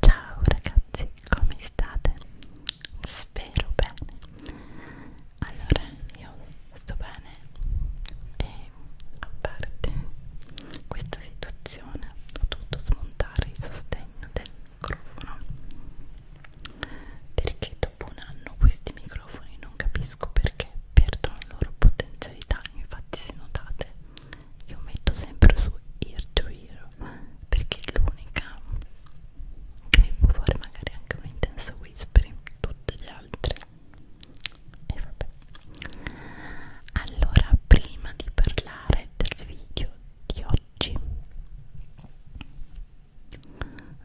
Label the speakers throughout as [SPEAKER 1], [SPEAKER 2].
[SPEAKER 1] Ciao ragazzi, come state? Spero bene allora io sto bene e a parte questa situazione ho dovuto smontare il sostegno del microfono perché dopo un anno questi microfoni non capisco perché perdono la loro potenzialità infatti se notate io metto sempre su ear to ear perché è l'unica che può fare magari anche un intenso whispering tutte le altre e vabbè allora prima di parlare del video di oggi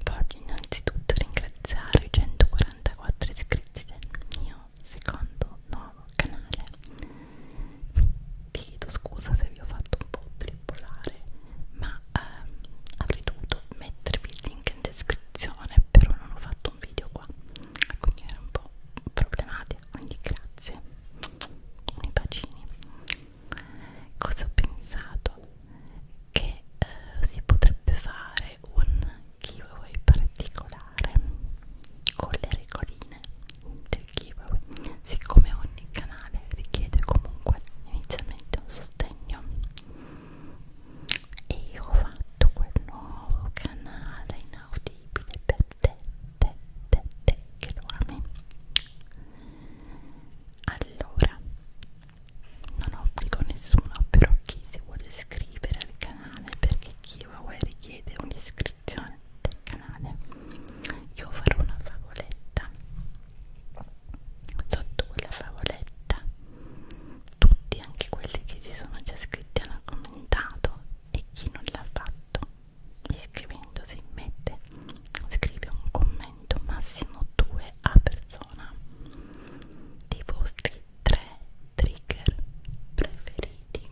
[SPEAKER 1] voglio innanzitutto ringraziare i 144 iscritti del mio secondo nuovo canale vi chiedo scusa se vi ho fatto un po' trippolare ma ehm, avrei dovuto mettervi il link descrizione però non ho fatto un video qua quindi era un po' problematica quindi grazie i bacini cosa ho pensato che eh, si potrebbe fare un giveaway particolare con le regoline del giveaway siccome ogni canale richiede comunque inizialmente un sostegno e io ho fatto quel nuovo canale inaudibile per te, te, te, te che lo ami allora non obbligo nessuno però chi si vuole iscrivere al canale perché giveaway richiede un'iscrizione del canale io farò una favoletta sotto quella favoletta tutti anche quelli che si sono già iscritti hanno commentato e chi non l'ha fatto iscrivendosi mette scrive un commento massimo 2 a persona dei vostri 3 trigger preferiti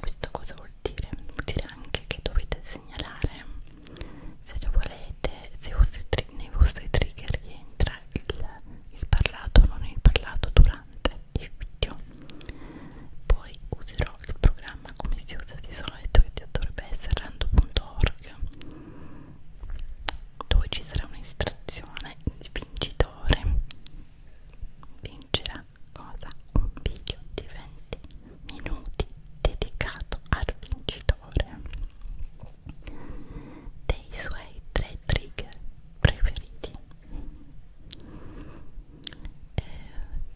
[SPEAKER 1] questo cosa vuol dire? vuol dire anche che dovete segnalare se lo volete se vostri, nei vostri trigger rientra il, il parlato o non il parlato durante il video poi userò il programma come si usa di solito che dovrebbe essere rando.org dove ci sarà un'istrazione il vincitore vincerà cosa? un video di 20 minuti dedicato al vincitore autore dei suoi tre trigger preferiti e eh,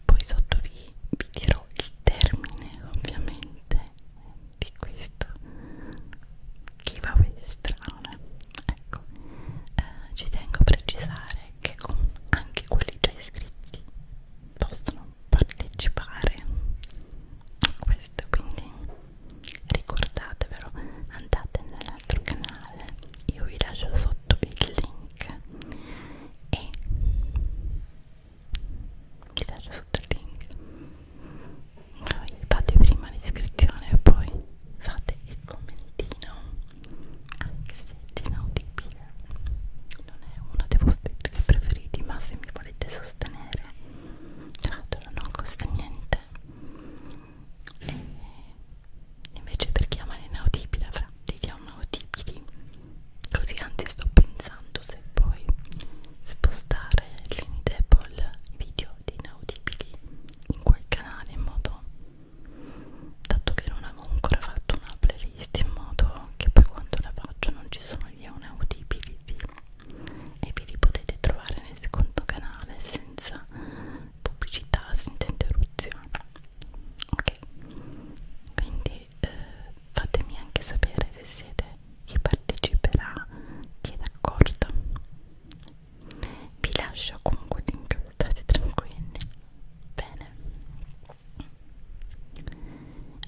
[SPEAKER 1] poi sotto vi, vi dirò il termine ovviamente di questo chi va per strada ecco eh, ci tengo a precisare che con anche quelli già iscritti possono partecipare a questo quindi ricordatevelo andate nell'altro canale io vi lascio sotto il link e vi lascio sotto il link poi fate prima l'iscrizione e poi fate il commentino anche se inaudibile non è uno dei vostri trucchi preferiti ma se mi volete sostenere fatto non costa niente e invece per chi ama l'inaudibile fra dei inaudibili così anzi sto pensando se poi spostare l'indable video di inaudibili in quel canale in modo dato che non avevo ancora fatto una playlist in modo che poi quando la faccio non ci sono Italia un Audibility e vi li potete trovare nel secondo canale senza pubblicità, senza interruzione ok quindi eh, fatemi anche sapere se siete chi parteciperà chi è d'accordo vi lascio comunque link state tranquilli bene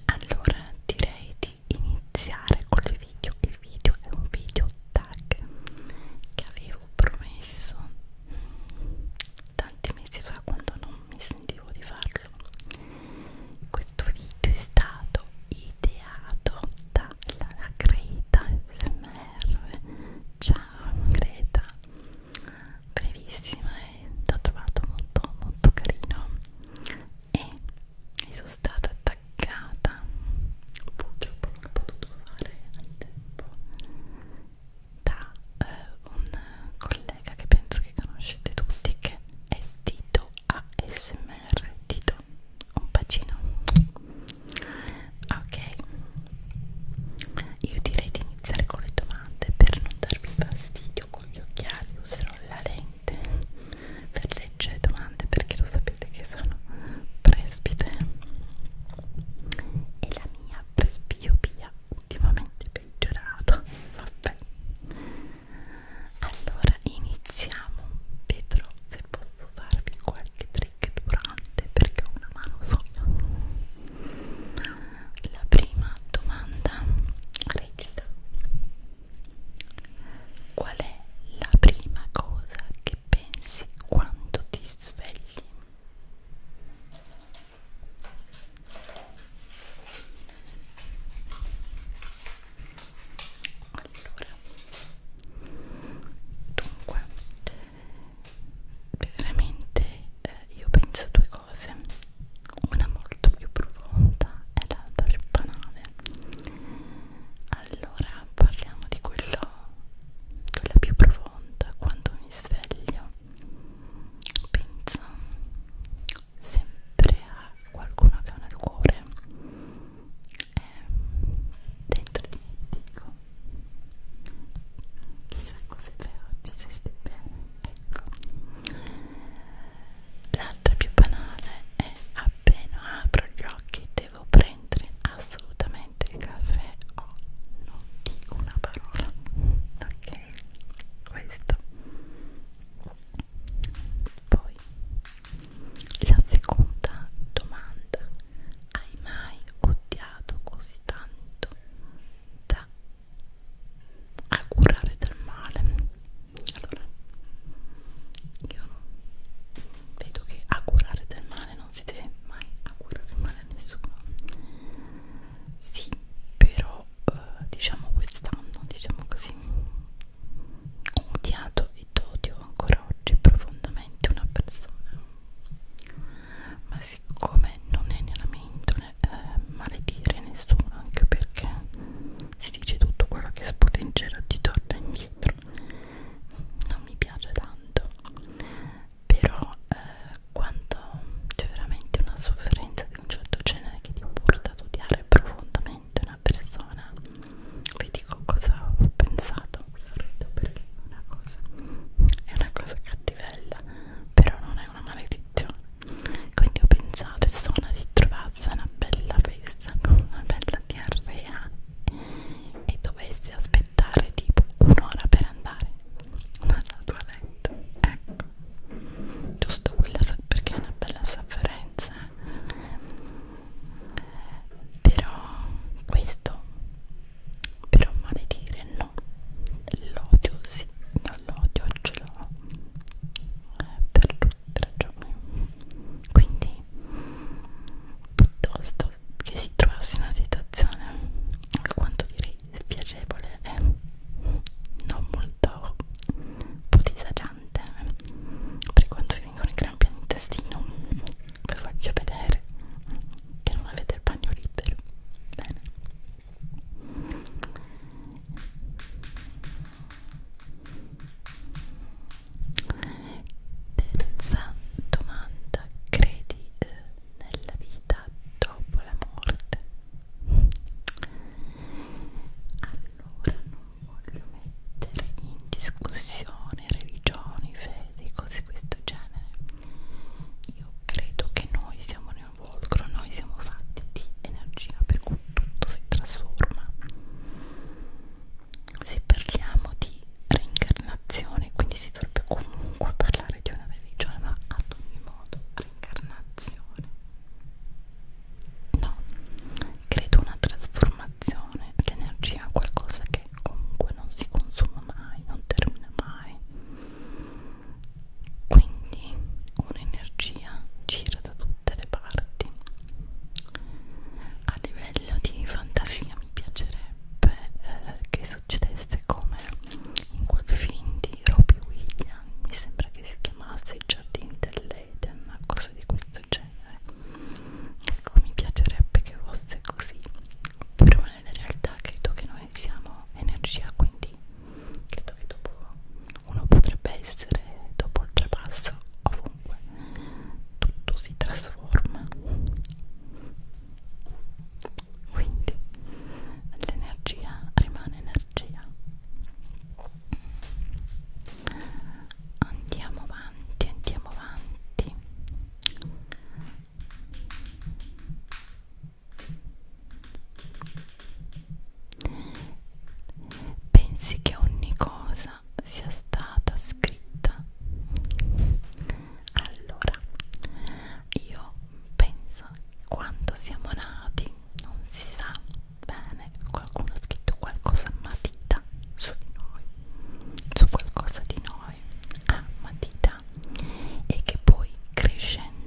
[SPEAKER 1] allora direi di di iniziare con il video il video è un video tag che avevo promesso tanti mesi fa quando non mi sentivo di farlo questo video è stato ideato dalla Greta SMR ciao Greta brevissima e eh. l'ho trovato molto molto carino e mi sono stata attaccata purtroppo non ho potuto fare al tempo da eh, un collega che penso che conoscete tutti che è Tito ASMR Tito un bacino ok io direi di iniziare con le domande per non darvi fastidio con gli occhiali userò la lente domande per leggere domande perché lo sapete che sono presbite e la mia presbiopia ultimamente peggiorata vabbè allora iniziamo vedrò se posso darvi qualche trick durante perché ho una mano sola la prima domanda recita Qual è la prima cosa che pensi quando ti svegli? Allora, dunque, veramente eh, io penso due cose una molto più profonda e l'altra più banale allora parliamo di quello, quella più profonda quando mi sveglio penso sempre a qualcuno che ha nel cuore e dentro di me dico chissà cosa fai oggi se stai bene ecco l'altra più banale è appena apro gli occhi devo prendere assolutamente il caffè o oh, non dico una parola ok questo poi la seconda domanda hai mai odiato così tanto da a curare del male allora io vedo che a curare del male non si deve mai a curare male a nessuno sì però eh, diciamo quest'anno diciamo così ho odiato ed odio ancora oggi profondamente una persona ma siccome non è nella mia eh, maledire nessuno anche perché si dice tutto quello che spotencerà di torna indietro non mi piace tanto però eh, quando c'è veramente una sofferenza di un certo genere che ti porta ad odiare profondamente una persona vi dico cosa ho pensato sorrido perché è una cosa è una cosa cattivella però non è una maledizione quindi ho pensato se Sona si trovasse una bella festa con una bella diarrea e dovessi aspettare tipo un'ora per andare alla toilette ecco giusto quella perché è una bella sofferenza eh. però questo però male dire no l'odio sì l'odio ce l'ho eh, per tutte le ragioni quindi piuttosto che si trovasse una situazione alquanto direi spiacevole e non molto un po' disagiante eh, per quando vi vengono i crampi all'intestino vi voglio vedere che non avete il bagno libero bene Terza domanda, credi eh, nella vita dopo la morte? Allora non voglio mettere in discussione religioni, fedi, cose di questo genere. Io credo che noi siamo nel Volcro noi siamo fatti di energia per cui tutto si trasforma se parliamo di reincarnazione quindi si dovrebbe comunque parlare di una religione ma ad ogni modo reincarnazione no credo una trasformazione l'energia è qualcosa che comunque non si consuma mai non termina mai quindi un'energia gira da tutte le parti a livello di fantasia mi piacerebbe eh, che succedesse come in quel film di Robbie Williams mi sembra che si chiamasse I giardini dell'Eden una cosa di questo genere ecco mi piacerebbe che fosse così però nella realtà credo che noi siamo energia quindi credo che dopo uno potrebbe essere dopo il trapasso ovunque tutto si trasforma quindi l'energia rimane energia andiamo avanti andiamo avanti Pensi che ogni cosa sia stata scritta? Allora, io penso quando siamo nati, non si sa bene, qualcuno ha scritto qualcosa a matita su di noi, su qualcosa di noi a matita e che poi crescendo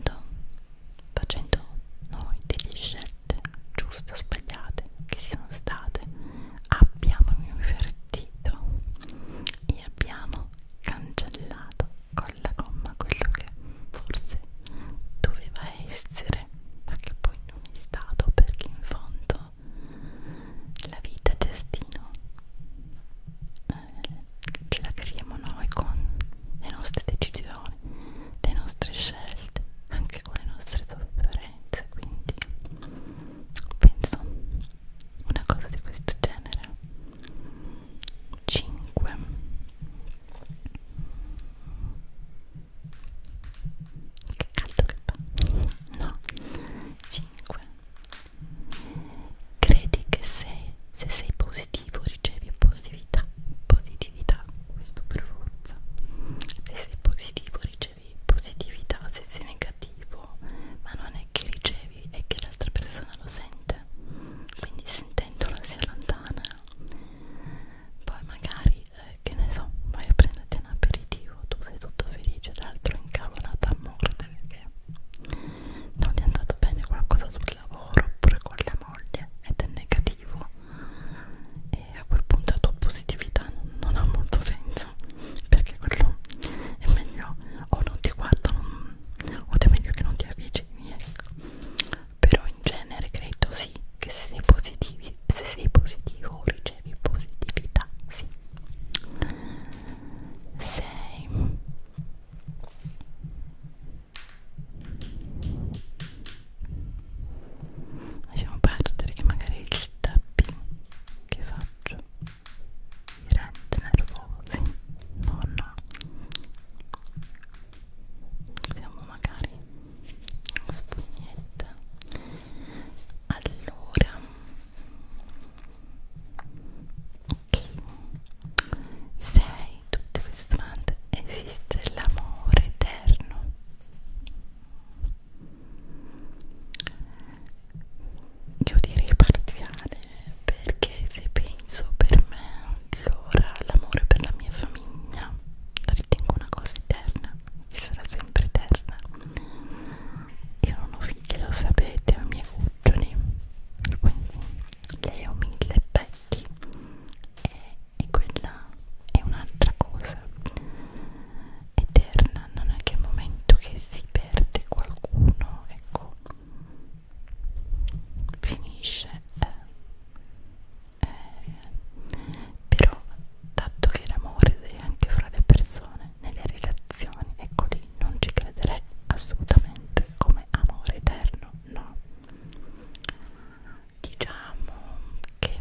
[SPEAKER 1] facendo noi delle scelte giuste o sbagliate che siano state abbiamo invertito e abbiamo cancellato con la gomma quello che forse doveva essere ma che poi non è stato perché in fondo la vita e il destino eh, ce la creiamo noi con le nostre decisioni, le nostre scelte, anche con le nostre sofferenze, quindi penso una cosa di questo genere. 5 Che caldo che fa. No. 5 Credi che se, se sei positivo ricevi positività, positività ti dà questo per forza se sei positivo ricevi positività se sei negativo ma non è che ricevi è che l'altra persona lo sente quindi sentendola si allontana poi magari eh, che ne so vai a prenderti un aperitivo tu sei tutto felice l'altro incavolata a morte perché non gli è andato bene qualcosa sul lavoro oppure con le moglie ed è negativo e a quel punto la tua positività non, non ha molto senso perché quello è meglio o non ti guardano o è meglio che non ti avvicini ecco però in genere credo sì che se sei, positivi, se sei positivo ricevi positività sì 6 lasciamo perdere che magari il tapping che faccio mi rende nervosi no no siamo magari spugnetta allora ok 6 tutte queste domande esiste l'amore eterno io direi parziale perché se penso per me allora l'amore per la mia famiglia la ritengo una cosa eterna che sarà sempre eterna io non ho figli lo sapete, ho i miei cuccioli quindi lei ho mille pezzi occhi e, e quella è un'altra cosa eterna non è che al momento che si perde qualcuno ecco finisce eh, eh, però dato che l'amore è anche fra le persone nelle relazioni ecco lì non ci crederei assolutamente come amore eterno no diciamo che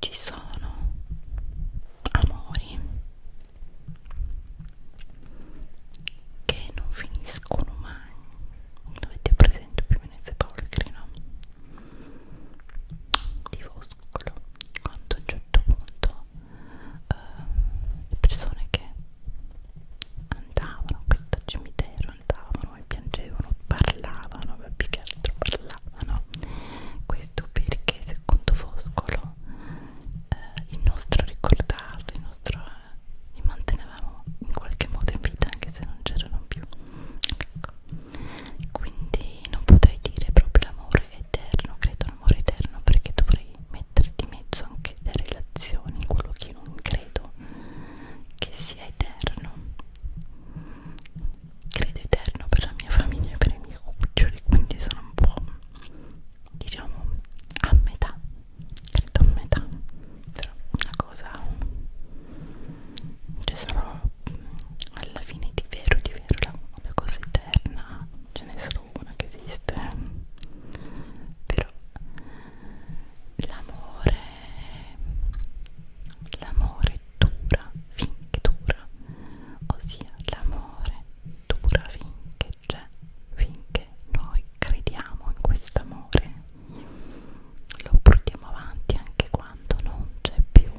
[SPEAKER 1] ci sono amori che non finiscono mai dovete presente più o meno i sepolcri no? di Foscolo quando a un certo punto eh, persone che andavano a questo cimitero, andavano e piangevano, parlavano, ma più che altro parlavano. Questo perché secondo Foscolo eh, il nostro ricordarli, il nostro eh, li mantenevamo in qualche modo in vita anche se non c'erano più. Ecco. Quindi non potrei dire proprio l'amore eterno, credo l'amore eterno perché dovrei puoi mettere di mezzo anche le relazioni, quello che io non credo che sia eterno. Credo eterno per la mia famiglia e per i miei cuccioli, quindi sono un po' diciamo a metà, credo a metà, però una cosa ci cioè sarò alla fine di vero, di vero la, la cosa eterna ce ne sono buona che esiste però l'amore l'amore dura finché dura ossia l'amore dura finché c'è finché noi crediamo in questo amore lo portiamo avanti anche quando non c'è più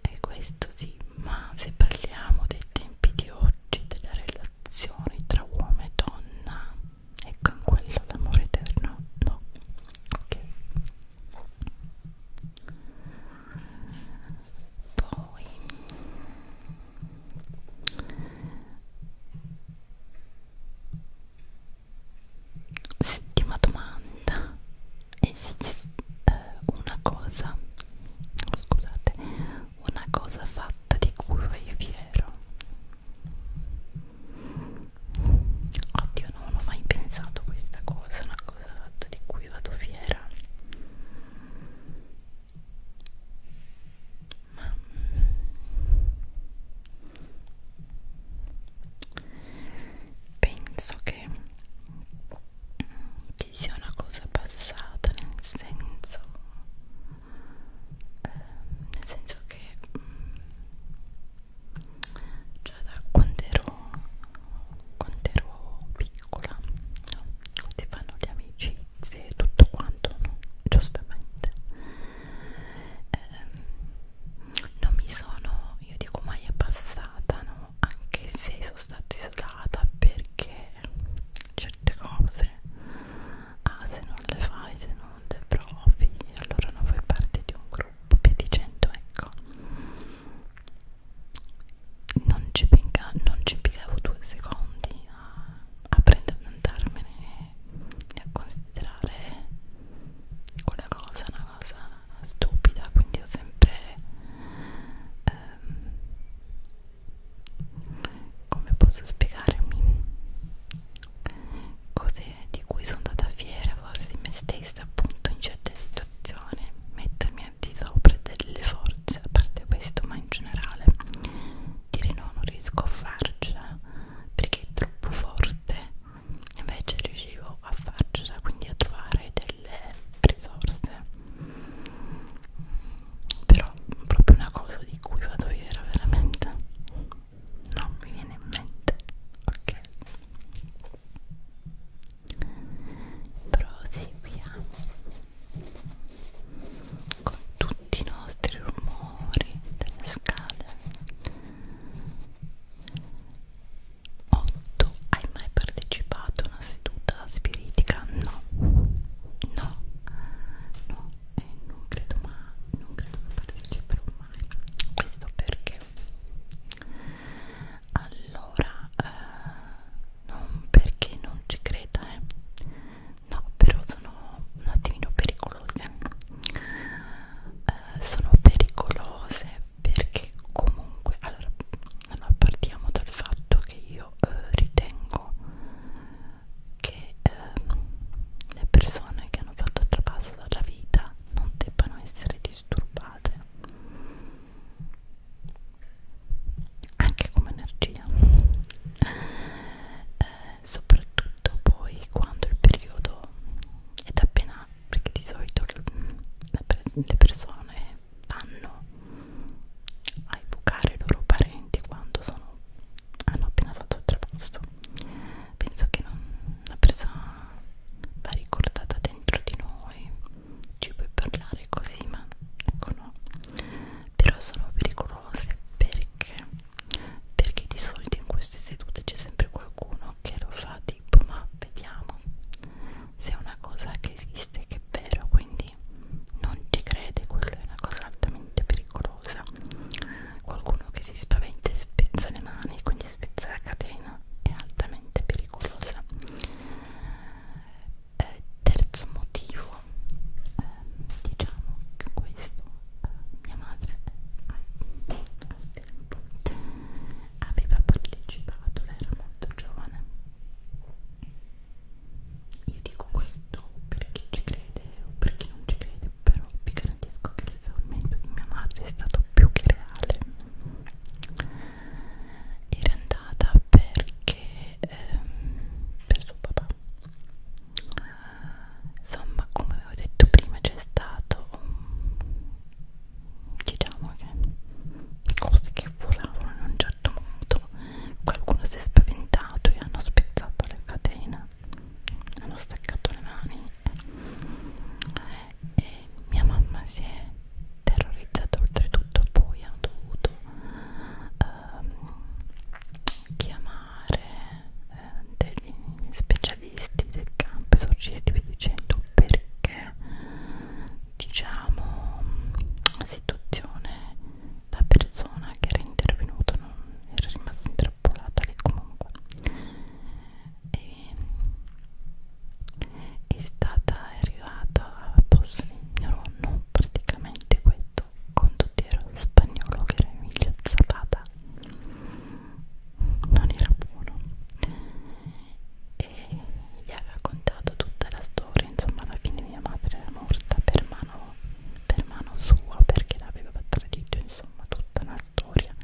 [SPEAKER 1] e questo sì ma se parliamo dei tempi di ora oggi delle relazioni tra uomo e donna e con quello l'amore eterno no ok poi settima domanda esiste eh, una cosa scusate una cosa fatta di curva e fiero oddio non ho mai pensato questa cosa una cosa fatta di cui vado fiera ma penso che che sia una cosa passata nel senso eh, nel senso che mh, mm, già da quando ero quando ero piccola no? ti fanno le amicizie e tutto quanto no? giustamente eh, non mi sono io dico mai è passata no? anche se sono stata isolata perché certe cose ah, se non le fai, se non le provi, allora non fai parte di un gruppo piaticento, ecco non ci, pinga, non ci pigliavo due secondi a, a prendere ad andarmene e a considerare quella cosa una cosa stupida quindi ho sempre ehm, come posso spiegarmi cose di cui sono andata fiera forse di me stessa appunto in certe situazioni mettermi al di sopra delle forze a parte questo ma in generale dire no non riesco a farcela perché è troppo forte invece riuscivo a farcela quindi a trovare delle risorse però proprio una cosa di cui vado fiera veramente non mi viene in mente ok proseguiamo con tutti i nostri rumori delle scale 8. Hai mai partecipato a una seduta spiritica? No, no, no, e eh, non credo ma non credo che parteciperò mai. Questo perché allora eh, non perché non ci creda, eh. No, però sono un attimino pericolose. Eh, sono pericolose perché che comunque allora non partiamo dal fatto che io eh, ritengo che eh, le persone che hanno fatto il trapasso dalla vita non debbano essere disturbate anche come energia eh, soprattutto poi quando il periodo ed appena perché di solito le persone vanno a evocare i loro parenti quando sono, hanno appena fatto il trapasso penso che non, la presa va ricordata dentro di noi ci puoi parlare così ma ecco no però sono pericolose perché perché di solito in queste sedute c'è sempre qualcuno che lo fa tipo ma vediamo se è una cosa che esiste che è vero, quindi non ci crede, quello è una cosa altamente pericolosa. Qualcuno che si spaventa e spezza le mani, quindi spezza la catena, è altamente pericolosa. Eh, terzo motivo, eh, diciamo che questo, eh, mia madre eh, al tempo aveva partecipato, lei era molto giovane io dico questo per chi ci crede o per chi non ci crede, però vi garantisco che l'esaurimento di mia madre è stato più che reale. Era andata perché ehm, per suo papà. Insomma, come avevo detto prima, c'è stato un diciamo che cose che volavano in un certo modo qualcuno si è spaventato e hanno spezzato le catene hanno staccato le mani e mia mamma si è terrorizzata oltretutto poi ha dovuto ehm, chiamare eh, degli specialisti del campo esorcisti dicendo perché diciamo situazione la persona che era intervenuta non era rimasta intrappolata lì comunque e, è stata arrivata a posto di mio nonno praticamente questo condottiero spagnolo che era Emilio Zapata non era buono e gli ha raccontato tutta la storia insomma alla fine mia madre era morta per mano, per mano sua perché l'aveva tradito insomma tutta una storia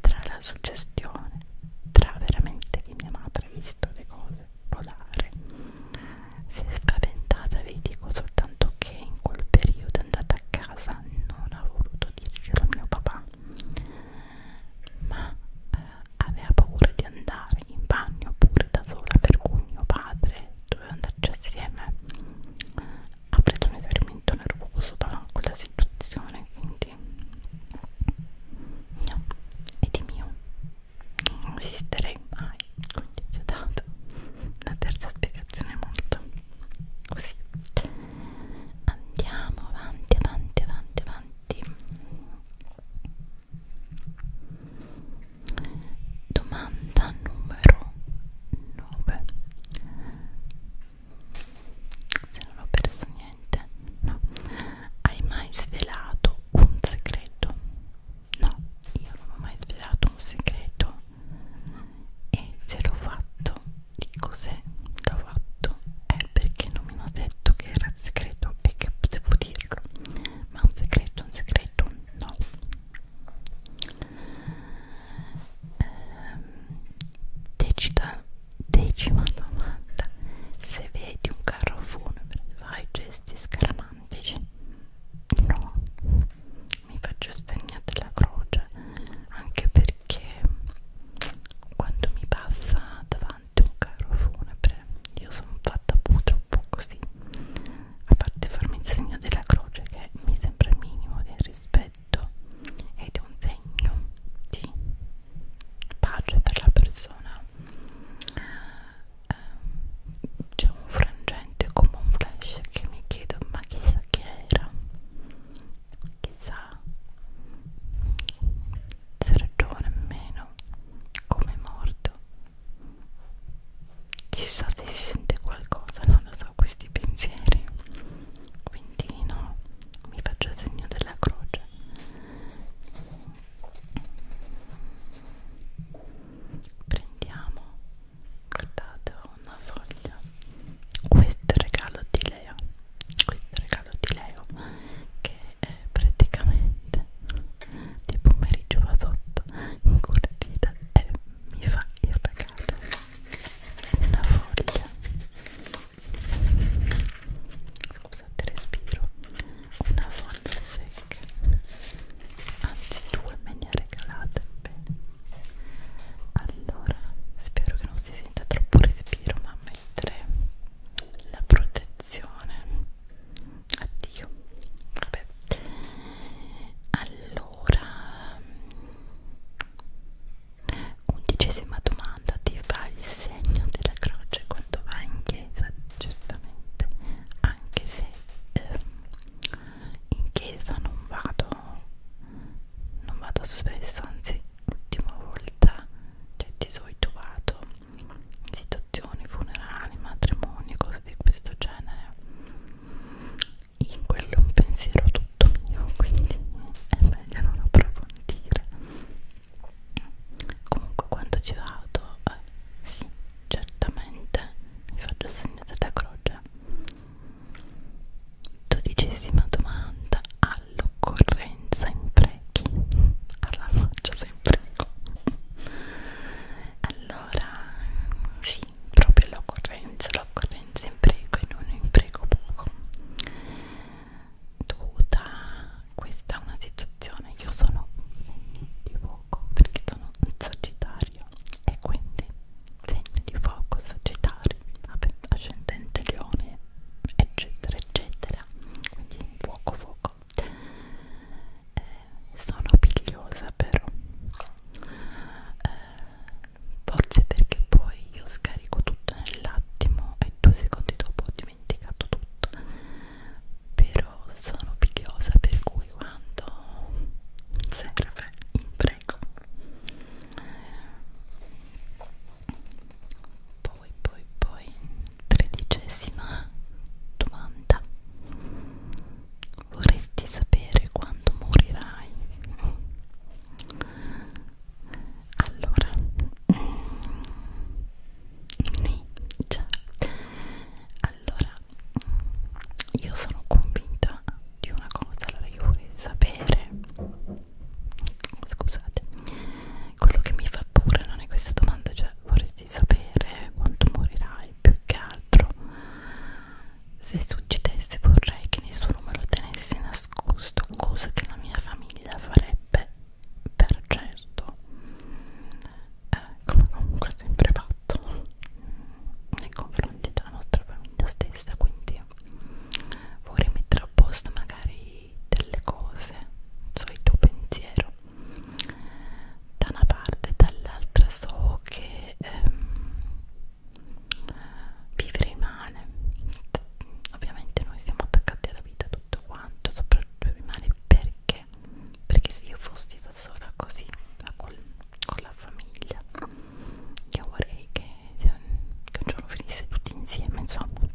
[SPEAKER 1] tra la suggestione tra veramente che mia madre ha visto le cose volare si è spaventata vi dico soltanto che in quel periodo è andata a casa non ha voluto dirglielo a mio papà ma eh, aveva paura di andare in bagno pure da sola per cui mio padre doveva andarci assieme ha preso un esaurimento nervoso da quella situazione quindi no, e di mio non esisterei mai quindi vi ho dato la terza spiegazione molto così andiamo avanti avanti avanti avanti Domanda numero 9. Se non ho perso niente, no. Hai mai svelato un segreto? No, io non ho mai svelato un segreto. E se l'ho fatto, di cos'è? L'ho fatto è perché non mi hanno detto che era segreto e che potevo dirlo ma un segreto, un segreto, no ehm, Decida, decima domanda se vedi un carro funebre fai gesti scaramantici no mi faccio stagnare la croce anche perché quando mi passa davanti pesante un caro funebre io sono fatta purtroppo così a parte farmi il segno della croce che mi sembra il minimo del rispetto ed è un segno di pace per la persona ehm, c'è un frangente come un flash che mi chiedo ma chissà chi era chissà essere giovane meno come morto chissà se si sente qualcosa non lo so questi pensieri quindi no mi faccio segno della croce prendiamo guardate una foglia questo è il regalo di Leo questo è il regalo di Leo che eh, praticamente di pomeriggio vado in cortina e mi fa il regalo una foglia scusate respiro una foglia secca anzi due me ne ha regalate bene allora spero che non si senta troppo respiro ma mentre la protezione addio vabbè allora mm, undicesima domanda ti fa il segno della croce quando vai in chiesa giustamente anche se eh, in chiesa non vado non vado spesso anzi l'ultima volta cioè, ti sei trovato situazioni funerali, matrimoni, cose di questo genere in quello è un pensiero tutto mio quindi è meglio non approfondire comunque quando ci vado eh, sì, certamente mi faccio il segno della croce dodicesima domanda all'occorrenza imprechi alla faccia sempre allora sì proprio l'occorrenza l'occorrenza impreco e non impreco poco dovuta questa è una situazione io sono segno di fuoco perché sono sagittario e quindi segno di fuoco sagittario vabbè ascendente leone eccetera eccetera eccetera quindi fuoco fuoco eh, sono pigliosa però eh, forse perché poi io scarico tutto nell'attimo e due secondi dopo ho dimenticato tutto però sono pigliosa per cui quando serve imprego poi poi poi tredicesima domanda vorresti sapere quando morirai allora sì, mm, già allora io sono convinta di una cosa allora io vorrei sapere scusate quello che mi fa paura non è questa domanda cioè vorresti sapere quanto morirai più che altro se succedesse vorrei che nessuno me lo tenesse nascosto cosa che la mia famiglia farebbe per certo eh, come comunque ho sempre fatto nei confronti della nostra famiglia stessa quindi vorrei mettere a posto magari fai delle cose, so il tuo pensiero da una parte e dall'altra so che ehm, vivere rimane ovviamente noi siamo attaccati alla vita tutto quanto soprattutto rimane perché perché se io fossi da sola così con, con la famiglia io vorrei che che un giorno finisse tutti insieme insomma um,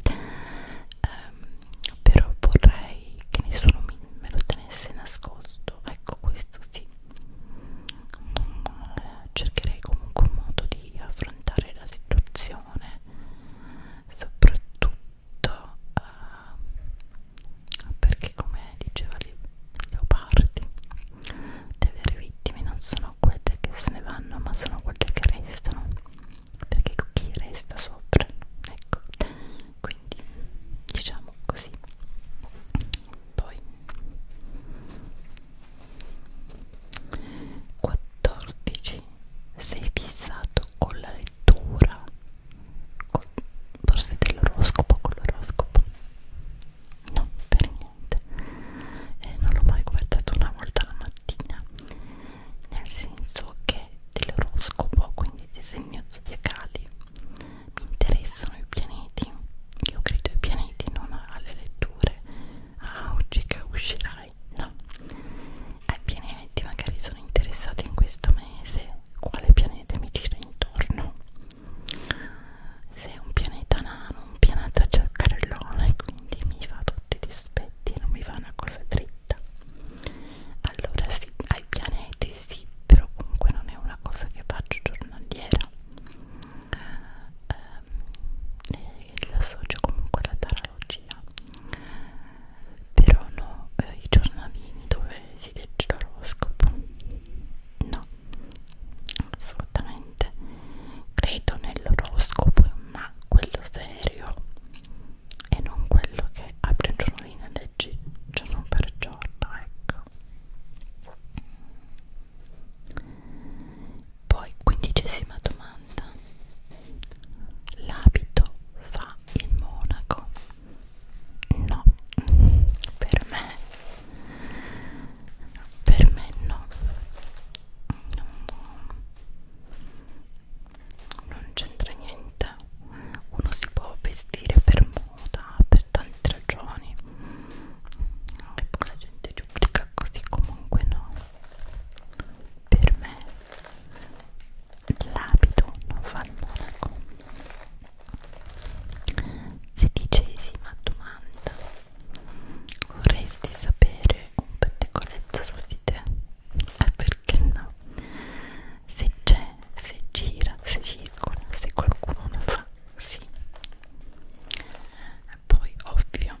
[SPEAKER 1] però vorrei che nessuno mi, me lo tenesse nascosto ecco questo sì um, cercherei comunque un modo di affrontare la situazione soprattutto uh, perché come diceva Leopardi le vere vittime non sono quelle che se ne vanno ma sono quelle che restano perché chi resta sopra ecco quindi diciamo così poi 14 sei fissato con la lettura con, forse dell'oroscopo con l'oroscopo no per niente eh, non l'ho mai guardato una volta la mattina nel senso che dell'oroscopo, quindi dei segni zodiacali, mi interessano i pianeti. Io credo ai pianeti, non alle letture. Ah, oggi che uscirai? No, ai pianeti magari sono interessati in questo mese. Quale pianeta mi gira intorno? Se è un pianeta nano, un pianeta cercarellone, quindi mi fa tutti disperi stretti non mi fa una cosa dritta allora sì, ai pianeti sì però comunque non è una cosa che faccio giornaliera eh, ehm, eh l'associo comunque alla tarologia però no, eh, i giornalini dove si legge l'oroscopo no assolutamente credo nell'oroscopo, ma quello serio e non quello che apri un giornalino e leggi giorno per giorno, ecco. Poi, quindicesima domanda. L'abito fa il monaco? No, per me, per me no non c'entra niente uno si può vestire per moda per tante ragioni e poi la gente giudica così comunque no per me l'abito non fa il monaco si dice sì ma domanda vorresti sapere un pettegolezzo su di te? Eh, perché no? Se c'è, se gira, se circola, se qualcuno ne fa, sì. E poi, ovvio,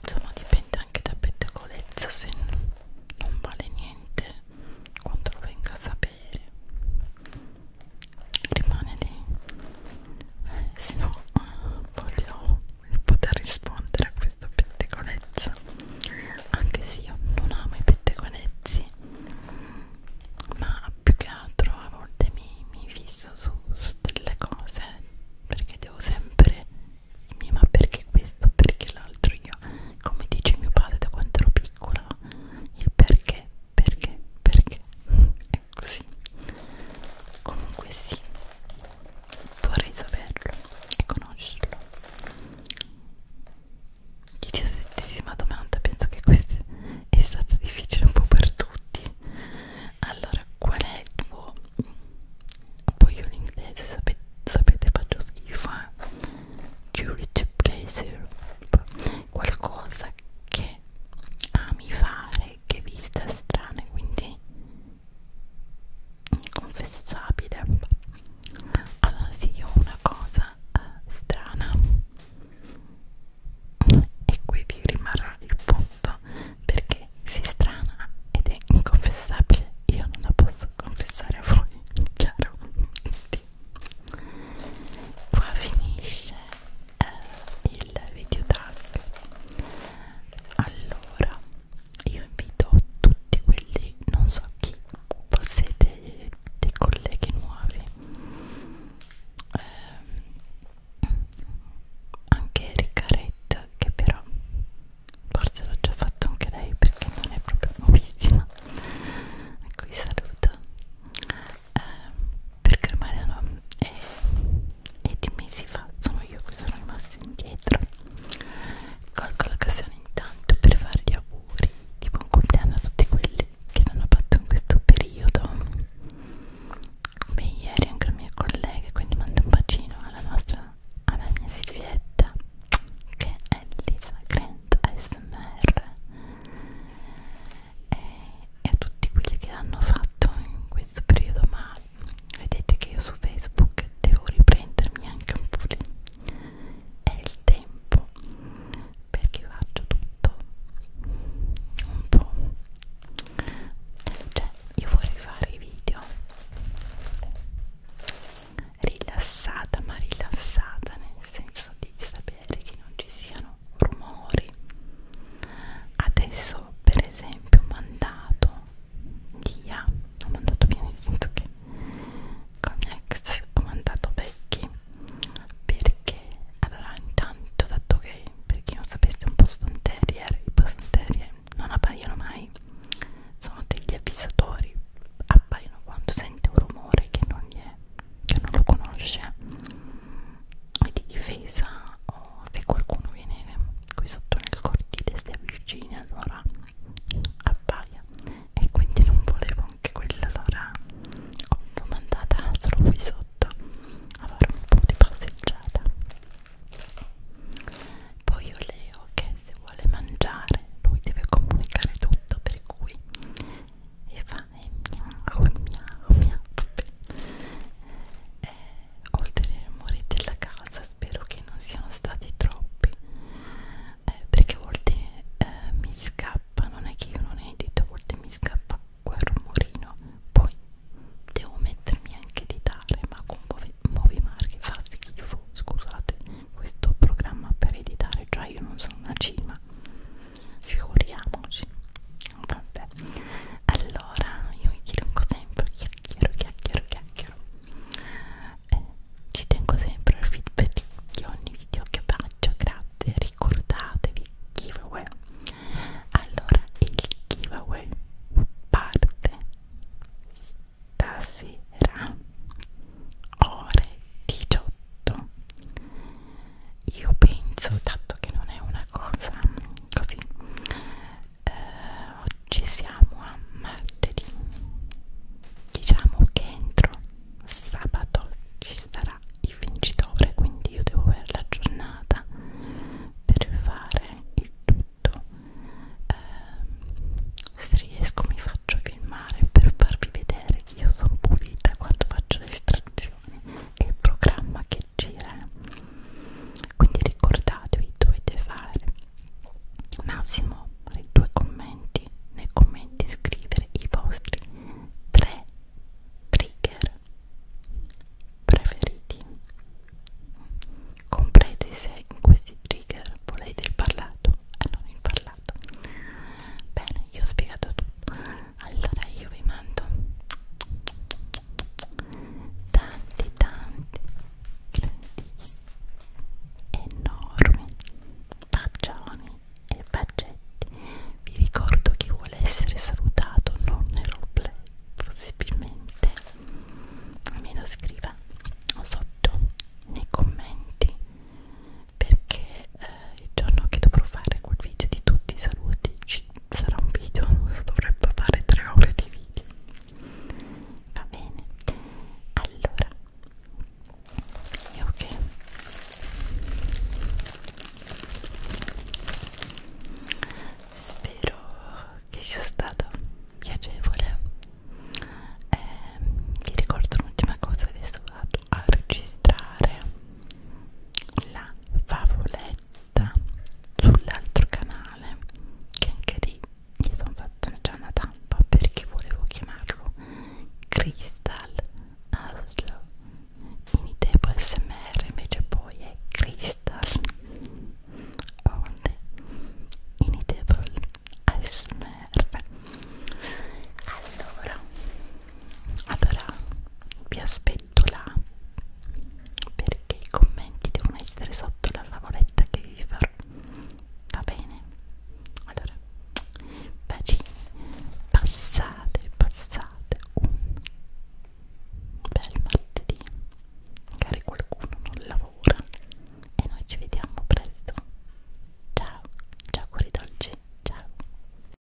[SPEAKER 1] insomma, dipende anche da pettegolezzo, se non vale niente quando lo venga a sapere rimane lì se no voglio poter rispondere a questo pettegolezzo anche se io non amo i pettegolezzi ma più che altro a volte mi, mi fisso su, su delle cose perché devo sempre dirmi ma perché questo perché l'altro io come dice mio padre da quando ero piccola il perché perché perché e così comunque sì vorrei saperlo e conoscerlo diciassettesima domanda penso che questa è stata difficile un po' per tutti allora qual è il tuo poi io l'inglese sapete, sapete faccio schifo eh? duty pleasure qualcosa che ami fare che, che viste strane quindi inconfessabile allora sì ho una cosa eh, strana e qui vi rimarrà il punto perché si strana ed è inconfessabile io non la posso confessare a voi chiaro qua finisce eh, il video tag allora io invito tutti quelli non so chi possiede dei colleghi nuovi eh, anche Riccaretta che però forse l'ho già fatto anche lei perché non è proprio nuovissima qui saluto Ehm, eh, perché ormai erano è, è di mesi fa sono io che sono rimasta indietro colgo l'occasione intanto per fare gli auguri di buon compleanno a tutti quelli che l'hanno fatto in questo periodo come ieri anche la mia collega quindi mando un bacino alla nostra alla mia Silvietta che è Lisa Grant ASMR e, e a tutti quelli che l'hanno fatto in questo periodo ma vedete che io su Facebook devo riprendermi anche un po' lì è il tempo perché faccio tutto un po' cioè io vorrei fare i video rilassata ma rilassata nel senso di sapere che non ci siano rumori adesso per esempio ho mandato via ho mandato via nel senso che con mia ex ho mandato vecchi perché allora intanto dato che per chi non sapesse un Boston Terrier i Boston Terrier non appaiono mai sono degli avvisatori appaiono quando sente un rumore che non, è, che non lo conosce di difesa o se qualcuno viene qui sotto nel cortile si avvicina allora appaia e quindi non volevo anche quella allora l'ho mandata solo qui sotto a fare un po' di passeggiata poi ho Leo che se vuole mangiare lui deve comunicare tutto per cui e fa e miau oh miau oh miau eh, oltre ai rumori della casa spero che non siano stati troppi eh, perché a volte eh, mi scappa non è che io non edito a volte mi scappa quel rumorino poi devo mettermi anche a editare ma con Movimark che fa schifo scusate questo programma per editare cioè io non sono una cima figuriamoci vabbè allora io mi chiedo sempre chiacchiero chiacchiero chiacchiero eh, ci tengo sempre al feedback di ogni video che faccio grazie ricordatevi giveaway allora il giveaway parte stasera ore 18 io penso, dato che non è una cosa così, eh, oggi siamo a martedì, diciamo che entro sabato ci sarà il vincitore, quindi io devo avere la giornata per fare il tutto. Eh, se riesco mi faccio filmare per farvi vedere che io sono pulita quando faccio l'estrazione e il programma che leggere quindi ricordatevi dovete fare massimo due commenti nei commenti scrivere i vostri tre trigger preferiti comprete se in questi trigger volete il parlato e non il parlato bene io ho spiegato tutto allora io vi mando tanti tanti enormi bacioni e bacetti vi ricordo chi vuole essere salutato non nel roleplay possibilmente almeno scriva sotto nei commenti perché eh, il giorno che dovrò fare quel video di tutti i saluti ci sarà un video, dovrebbe fare tre ore di video va bene allora io che spero che sia stato piacevole eh, vi ricordo un'ultima cosa adesso vado a registrare la favoletta sull'altro canale che anche lì mi sono fatta già una tampa perché volevo chiamarlo Crystal Aslo in tempo smr invece poi è Crystal onde initable ASMR allora allora vi aspetto metto là perché i commenti devono essere sotto la favoletta che vi farò va bene allora vagini passate passate un bel martedì magari qualcuno non lavora e noi ci vediamo presto ciao ciao cuori dolci ciao